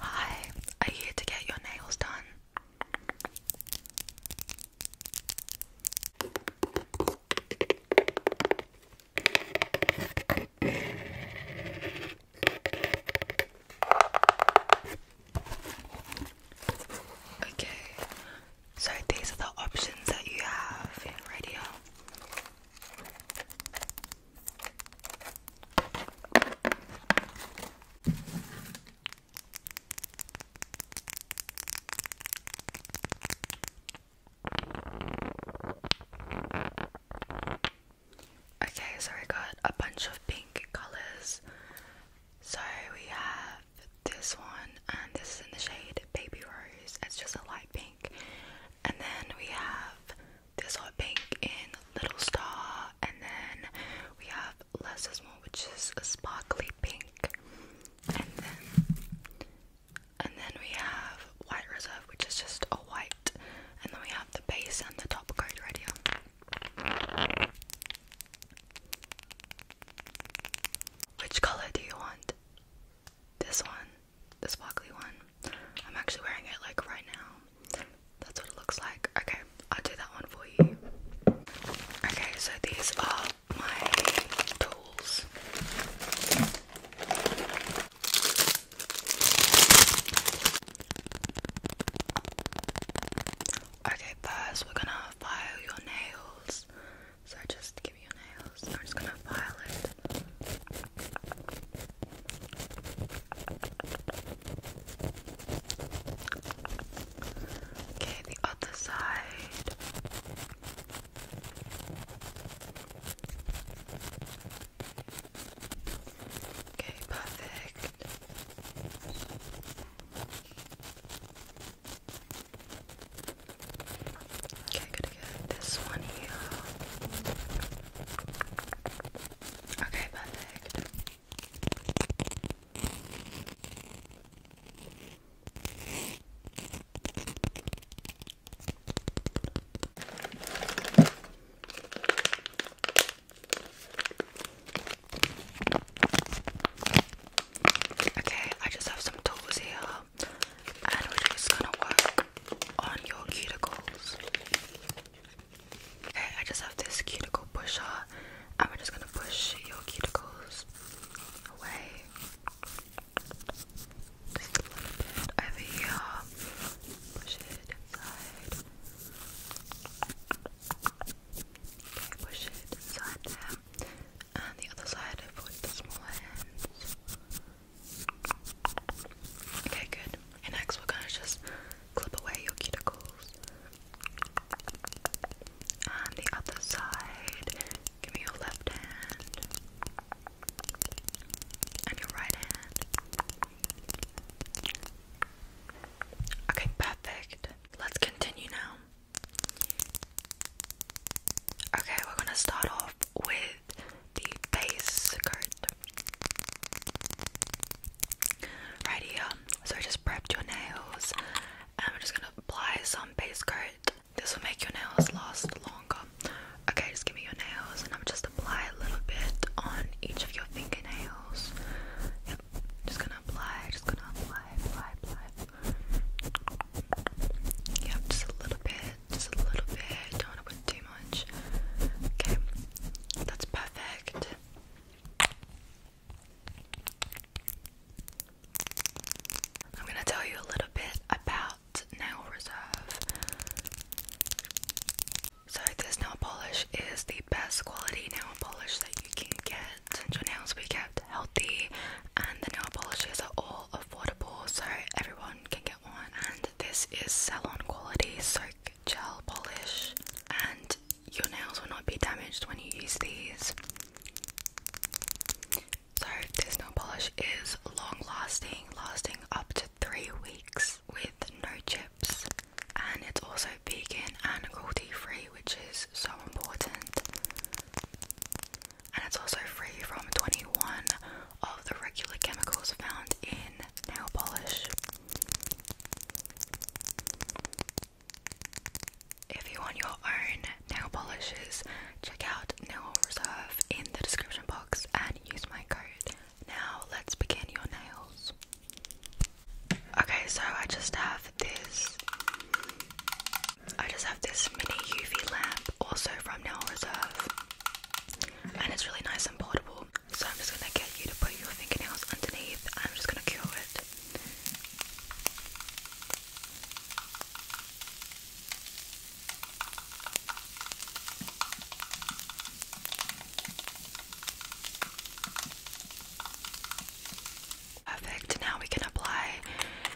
Hi, are you to get your nails done? Okay, so these are the options that you have in radio. Okay, so I got a bunch of pink colors. So we have this one, and this is in the shade Baby Rose. It's just a light pink. And then we have this hot pink in Little Star, and then we have Less is More, which is a sparkly pink, and then and then we have White Reserve, which is just a white, and then we have the base and the top coat right here. Which color do you want? This one. This sparkly one. I'm actually wearing it like right now. That's what it looks like. Okay, I'll do that one for you. Okay, so these are my tools. Okay, first we're gonna file your nails. So just give me your nails. I'm just gonna file it. Okay, the other side. Okay, perfect. Okay, good this one here. Okay, perfect. Okay, I just have some tools here and we're just gonna work on your cuticles. Okay, I just have this cuticle pusher, and we're just gonna push your cuticles away. Just a little bit over here. Push it inside. Okay, push it inside there. And the other side, I the smaller hands. Okay, good. next, we're gonna just clip away your cuticles. And the other side. Give me your left hand and your right hand. Okay, perfect. Let's continue now. Okay, we're gonna start off with the base skirt. Right here. So I just prepped your nails and we're just gonna apply some base coat. This will make your nails last longer. Okay, just give me your nails and I'm just apply a little bit on each of your fingernails. Yep. Just gonna apply, just gonna apply, apply, apply. Yep, just a little bit just a little bit. Don't want to put too much. Okay, that's perfect. I'm gonna tell you a little bit about nail reserve. So this nail polish is the best quality nail polish that you can get. And your nails will be kept healthy, and the nail polishes are all affordable, so everyone can get and this is salon quality soak gel polish, and your nails will not be damaged when you use these. So, this nail polish is long lasting, lasting up to three weeks with no chips, and it's also vegan and cruelty free, which is so important and it's also free from 21 of the regular chemicals found in nail polish. If you want your own nail polishes, check out Nail Reserve in the description box and use my code. Now, let's begin your nails. Okay, so I just have this I just have this mini UV lamp also from Nail Reserve and it's really nice and portable. So I'm just gonna get you to put your fingernails underneath and I'm just gonna cure it. Perfect, now we can apply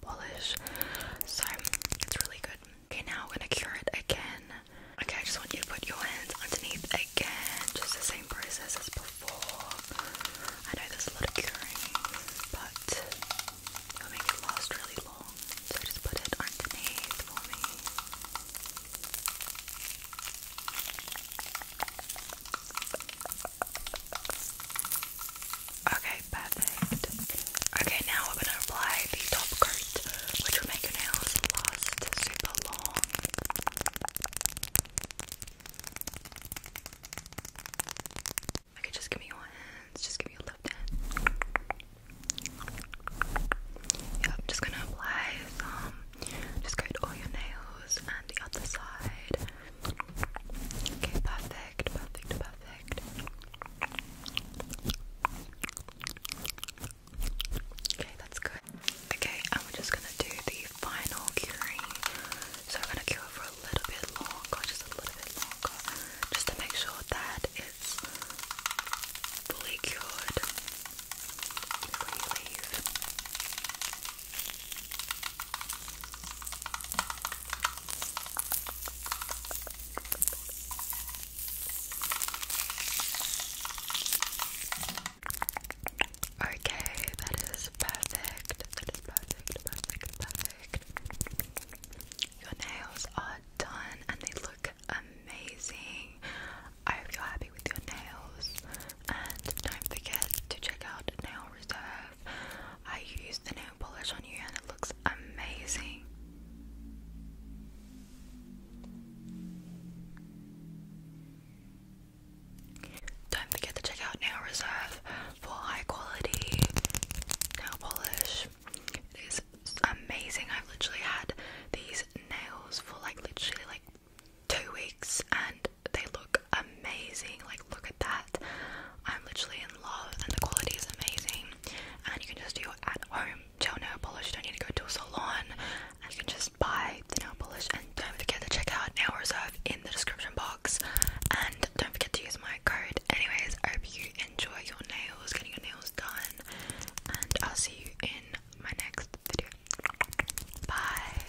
polish. So it's really good. Okay, now I'm gonna cure it again. Okay, I just want you to put your hands underneath again. Just the same process as before. I know there's a lot of curing, but it'll make it last really long. So just put it underneath for me. Okay, perfect. Okay, now we're gonna apply the top coat, which will make your nails last super long. Okay, just give me your hands, just give me your left hand. Yeah, I'm just gonna apply some, just coat all your nails and the other side. Okay, perfect, perfect, perfect. Okay, that's good. Okay, and we just gonna do the final curing. So we're gonna cure it for a little bit longer, just a little bit longer, just to make sure that it's fully cured before you leave. Okay, that is perfect. That is perfect, perfect, perfect. Your nails are done and they look amazing. I hope you're happy with your nails. And don't forget to check out Nail Reserve. I use the polish on you and it looks amazing. Don't forget to check out Nail Reserve for high quality nail polish. It is amazing. I've literally had these nails for like literally like two weeks and they look amazing. Like, look at that. I'm literally in love, and the quality is amazing. And you can just do it at home gel nail polish. don't need to go to a salon. And you can just buy the nail polish. And don't forget to check out our Reserve in the description box. And don't forget to use my code. Anyways, I hope you enjoy your nails, getting your nails done. And I'll see you in my next video. Bye.